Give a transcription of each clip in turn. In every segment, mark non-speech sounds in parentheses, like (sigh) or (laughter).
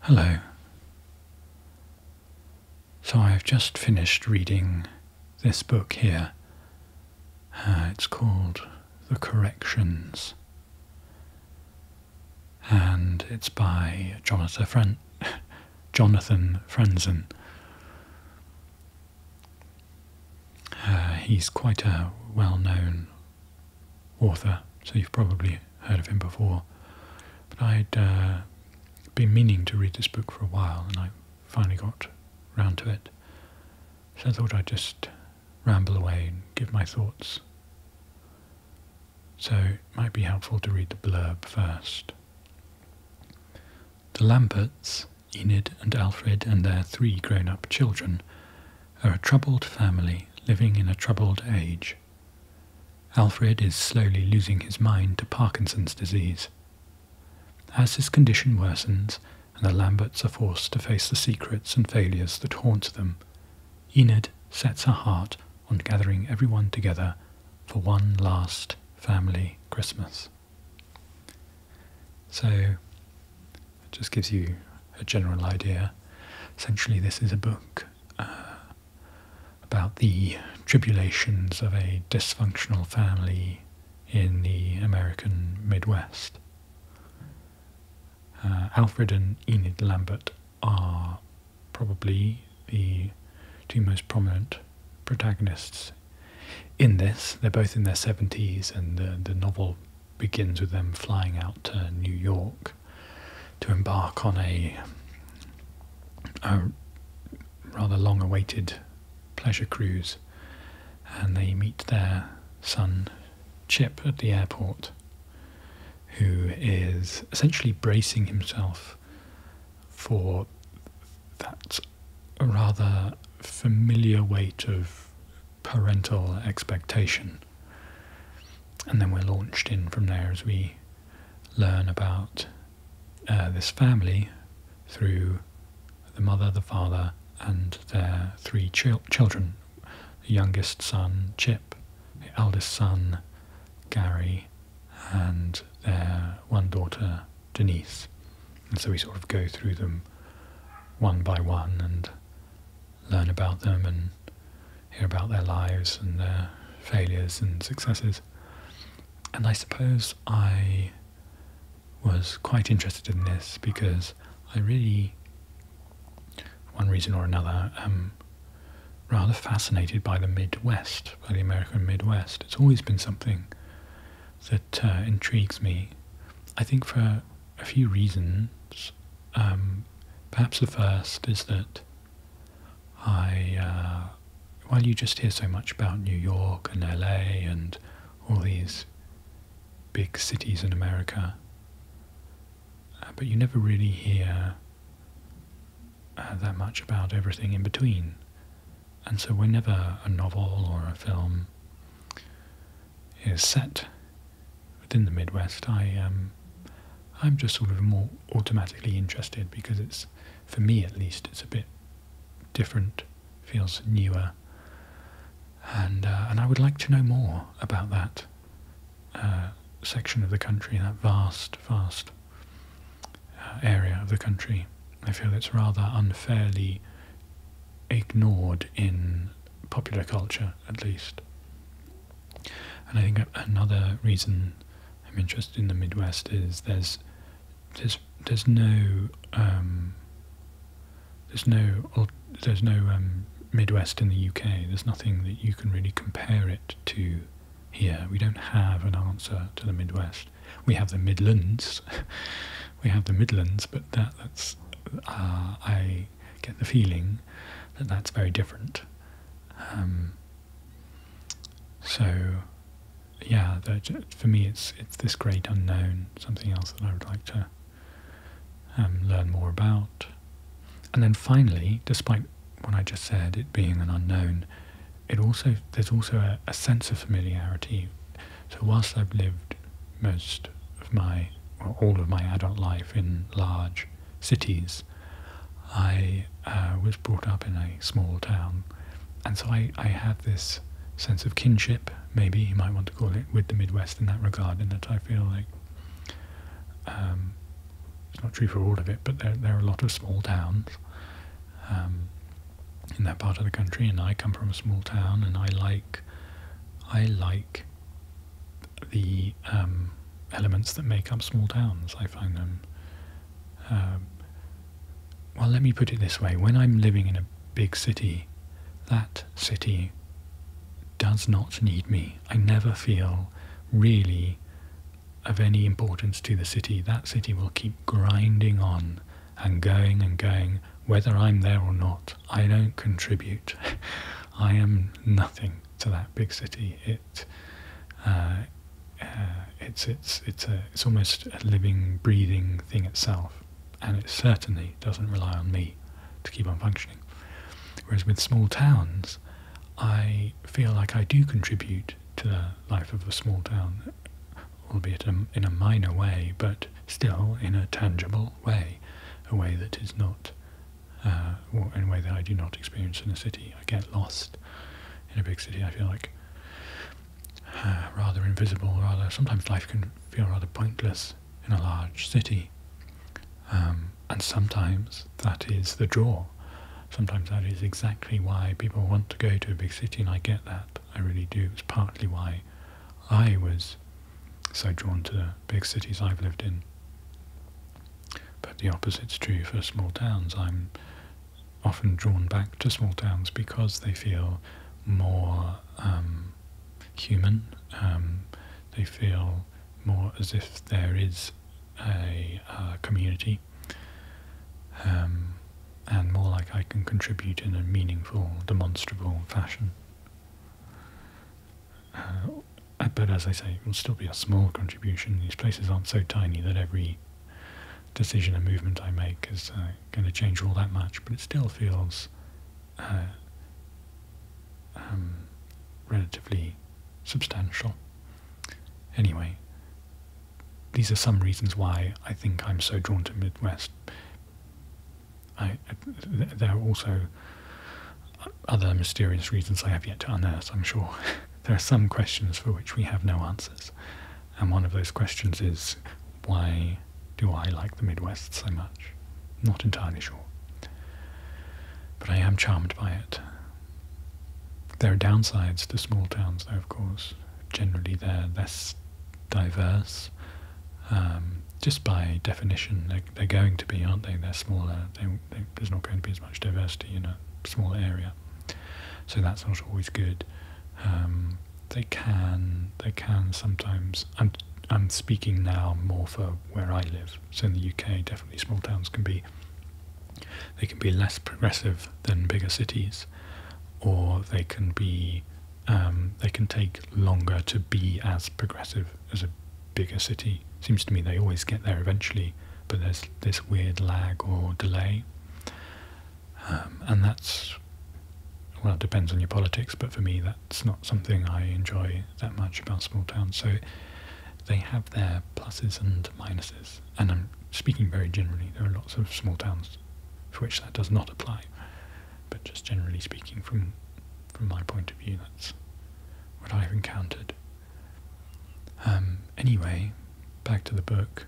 Hello. So I've just finished reading this book here. Uh, it's called The Corrections. And it's by Jonathan, Fren (laughs) Jonathan Franzen. Uh, he's quite a well-known author, so you've probably heard of him before. But i had uh, been meaning to read this book for a while, and I finally got round to it. So I thought I'd just ramble away and give my thoughts. So it might be helpful to read the blurb first. The Lamberts, Enid and Alfred and their three grown-up children, are a troubled family living in a troubled age. Alfred is slowly losing his mind to Parkinson's disease. As his condition worsens and the Lamberts are forced to face the secrets and failures that haunt them, Enid sets her heart on gathering everyone together for one last family Christmas. So, it just gives you a general idea. Essentially, this is a book uh, about the tribulations of a dysfunctional family in the American Midwest. Uh, Alfred and Enid Lambert are probably the two most prominent protagonists in this. They're both in their 70s, and the, the novel begins with them flying out to New York to embark on a rather long awaited pleasure cruise, and they meet their son Chip at the airport, who is essentially bracing himself for that rather familiar weight of parental expectation. And then we're launched in from there as we learn about uh, this family through the mother, the father, and their three children the youngest son, Chip, the eldest son, Gary, and their one daughter, Denise. And so we sort of go through them one by one and learn about them and hear about their lives and their failures and successes. And I suppose I was quite interested in this because I really, one reason or another, rather fascinated by the Midwest, by the American Midwest. It's always been something that uh, intrigues me. I think for a few reasons. Um, perhaps the first is that I, uh, while you just hear so much about New York and LA and all these big cities in America, uh, but you never really hear uh, that much about everything in between. And so, whenever a novel or a film is set within the Midwest, I um, I'm just sort of more automatically interested because it's, for me at least, it's a bit different, feels newer, and uh, and I would like to know more about that uh, section of the country, that vast, vast uh, area of the country. I feel it's rather unfairly ignored in popular culture, at least. And I think another reason I'm interested in the Midwest is there's there's there's no um, there's no there's no um, Midwest in the UK. There's nothing that you can really compare it to here. We don't have an answer to the Midwest. We have the Midlands, (laughs) we have the Midlands, but that that's uh, I get the feeling that that's very different. Um, so yeah, for me, it's it's this great unknown, something else that I would like to um, learn more about. And then finally, despite what I just said, it being an unknown, it also there's also a sense of familiarity so whilst I've lived most of my, well, all of my adult life in large cities, I uh, was brought up in a small town. And so I, I had this sense of kinship, maybe you might want to call it, with the Midwest in that regard, in that I feel like um, it's not true for all of it, but there, there are a lot of small towns um, in that part of the country, and I come from a small town, and I like I like the um, elements that make up small towns. I find them. Um, well, let me put it this way: when I'm living in a big city, that city does not need me. I never feel really of any importance to the city. That city will keep grinding on and going and going, whether I'm there or not, I don't contribute. (laughs) I am nothing to that big city. It, uh, uh, it's it's it's a it's almost a living, breathing thing itself, and it certainly doesn't rely on me to keep on functioning. Whereas with small towns, I feel like I do contribute to the life of a small town, albeit in a minor way, but still in a tangible way, a way that is not, uh, or a way that I do not experience in a city. I get lost in a big city. I feel like uh, rather invisible, rather sometimes life can feel rather pointless in a large city. Um, and sometimes that is the draw. Sometimes that is exactly why people want to go to a big city, and I get that. I really do. It's partly why I was so drawn to the big cities I've lived in. But the opposite is true for small towns. I'm often drawn back to small towns because they feel more um, human. Um, they feel more as if there is a, community. Um, and more like I can contribute in a meaningful, demonstrable fashion. Uh, but as I say, it will still be a small contribution. These places aren't so tiny that every decision and movement I make is uh, going to change all that much, but it still feels uh, um, relatively substantial. Anyway, these are some reasons why I think I'm so drawn to Midwest there are also other mysterious reasons I have yet to unearth, I'm sure. (laughs) there are some questions for which we have no answers. And one of those questions is why do I like the Midwest so much? Not entirely sure. But I am charmed by it. There are downsides to small towns, though, of course generally they're less diverse. Um, just by definition, they're, they're going to be, aren't they? They're smaller. there's not going to be as much diversity in a small area, so that's not always good. Um, they can, they can sometimes. I'm, I'm speaking now more for where I live. So in the UK, definitely small towns can be. They can be less progressive than bigger cities, or they can be um, they can take longer to be as progressive as a bigger city. Seems to me they always get there eventually, but there's this weird lag or delay, um, and that's well, it depends on your politics. But for me, that's not something I enjoy that much about small towns. So they have their pluses and minuses and I'm speaking very generally, there are lots of small towns for which that does not apply, but just generally speaking from, from my point of view, that's what I've encountered. Um, anyway, back to the book.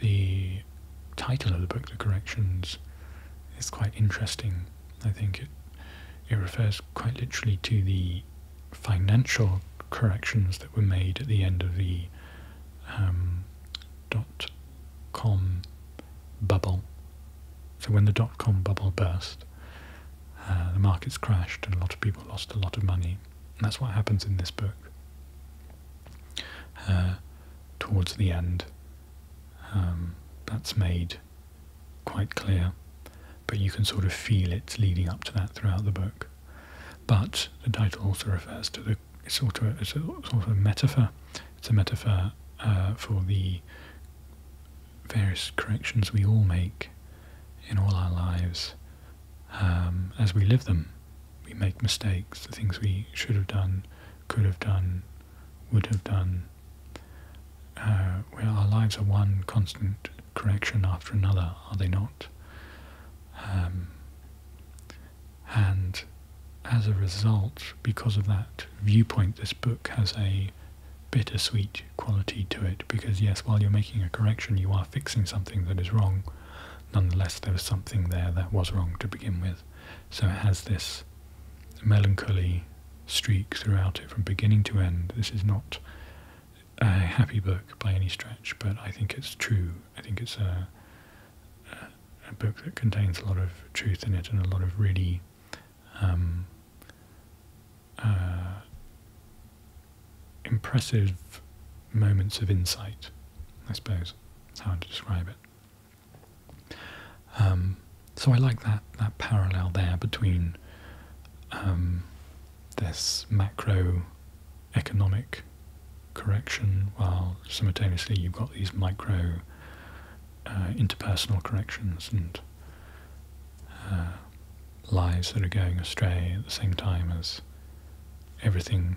The title of the book, The Corrections, is quite interesting. I think it it refers quite literally to the financial corrections that were made at the end of the um, dot com bubble. So when the dot com bubble burst, uh, the markets crashed and a lot of people lost a lot of money. that's what happens in this book. Uh, towards the end, um, that's made quite clear, but you can sort of feel it leading up to that throughout the book. But the title also refers to a sort of a metaphor. It's a metaphor uh, for the various corrections we all make in all our lives um, as we live them. We make mistakes, the things we should have done, could have done, would have done. Uh, where our lives are one constant correction after another, are they not? Um, and as a result, because of that viewpoint, this book has a bittersweet quality to it because, yes, while you're making a correction, you are fixing something that is wrong. Nonetheless, there was something there that was wrong to begin with. So it has this melancholy streak throughout it from beginning to end. This is not a happy book by any stretch, but I think it's true I think it's a, book that contains a lot of truth in it and a lot of really um, uh, impressive moments of insight. I suppose that's how to describe it. Um, so I like that that parallel there between um, this macroeconomic correction, while simultaneously you've got these micro uh, interpersonal corrections and uh, lives that are going astray at the same time as everything,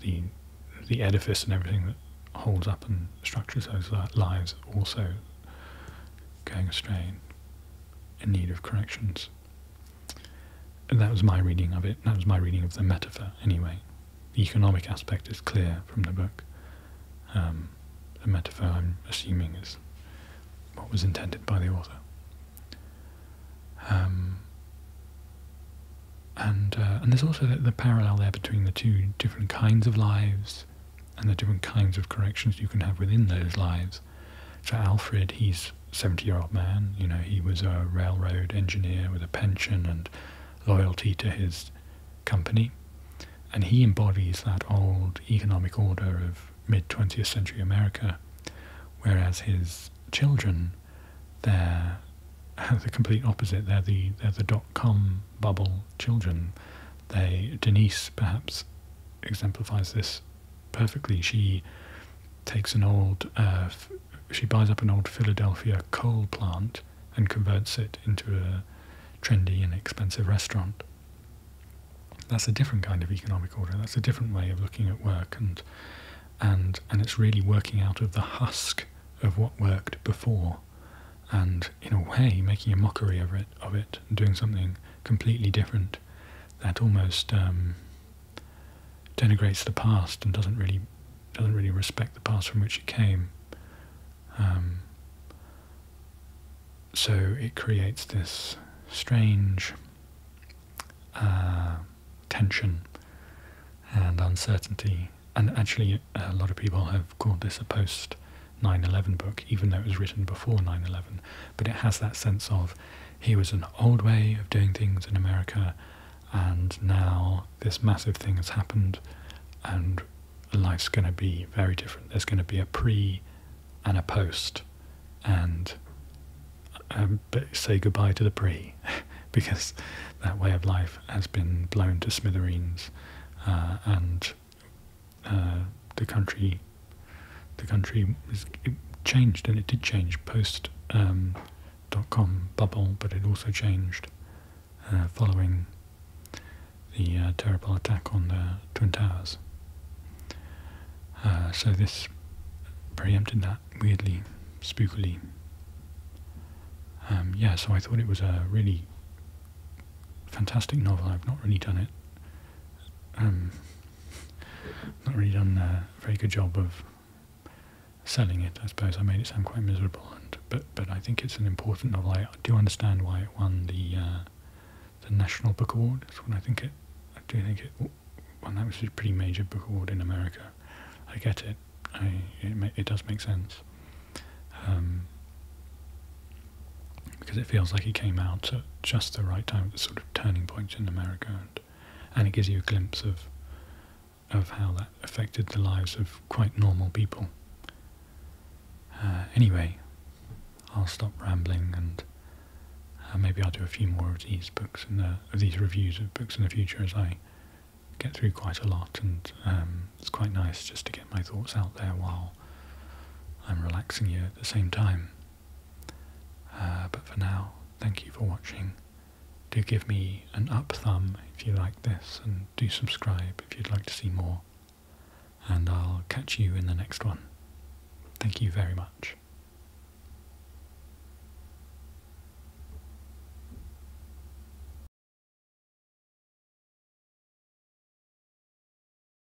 the the edifice and everything that holds up and structures those lives also going astray in need of corrections that was my reading of it. That was my reading of the metaphor, anyway. The economic aspect is clear from the book. Um, the metaphor, I'm assuming, is what was intended by the author. Um, and uh, and there's also the, parallel there between the two different kinds of lives and the different kinds of corrections you can have within those lives for Alfred, he's 70 year old man. You know, he was a railroad engineer with a pension and loyalty to his company. And he embodies that old economic order of mid 20th century America, whereas his children, they're (laughs) the complete opposite. They're the, the dot com bubble children. They, Denise perhaps exemplifies this perfectly. She takes an old, uh, she buys up an old Philadelphia coal plant and converts it into a trendy and expensive restaurant. That's a different kind of economic order. That's a different way of looking at work, and and and it's really working out of the husk of what worked before, and in a way making a mockery of it, of it, and doing something completely different. That almost um, denigrates the past and doesn't really doesn't really respect the past from which it came. Um, so it creates this strange uh, tension and uncertainty. And actually, a lot of people have called this a post 9 11 book, even though it was written before 9 11. But it has that sense of he was an old way of doing things in America, and now this massive thing has happened, and life's going to be very different. There's going to be a pre and a post, and um, say goodbye to the pre, (laughs) because that way of life has been blown to smithereens, uh, and uh, the country the country was changed, and it did change post um, dot com bubble, but it also changed uh, following the uh, terrible attack on the Twin Towers. Uh, so this preempted that weirdly, spookily. Um, yeah, so I thought it was a really fantastic novel. I've not really done it. Um, not really done a very good job of selling it. I suppose I made it sound quite miserable, and but but I think it's an important novel. I do understand why it won the uh, the National Book Award. That's when I think it. I do think it won that, which a pretty major book award in America. I get it. it, it does make sense. Um, because it feels like it came out at just the right time, at the sort of turning point in America, and, it gives you a glimpse of of how that affected the lives of quite normal people. Uh, anyway, I'll stop rambling and uh, maybe I'll do a few more of these books and these reviews of books in the future as I get through quite a lot, and um, it's quite nice just to get my thoughts out there while I'm relaxing here at the same time. Uh, but for now, thank you for watching. Do give me an up thumb if you like this, and do subscribe if you'd like to see more. And I'll catch you in the next one. Thank you very much.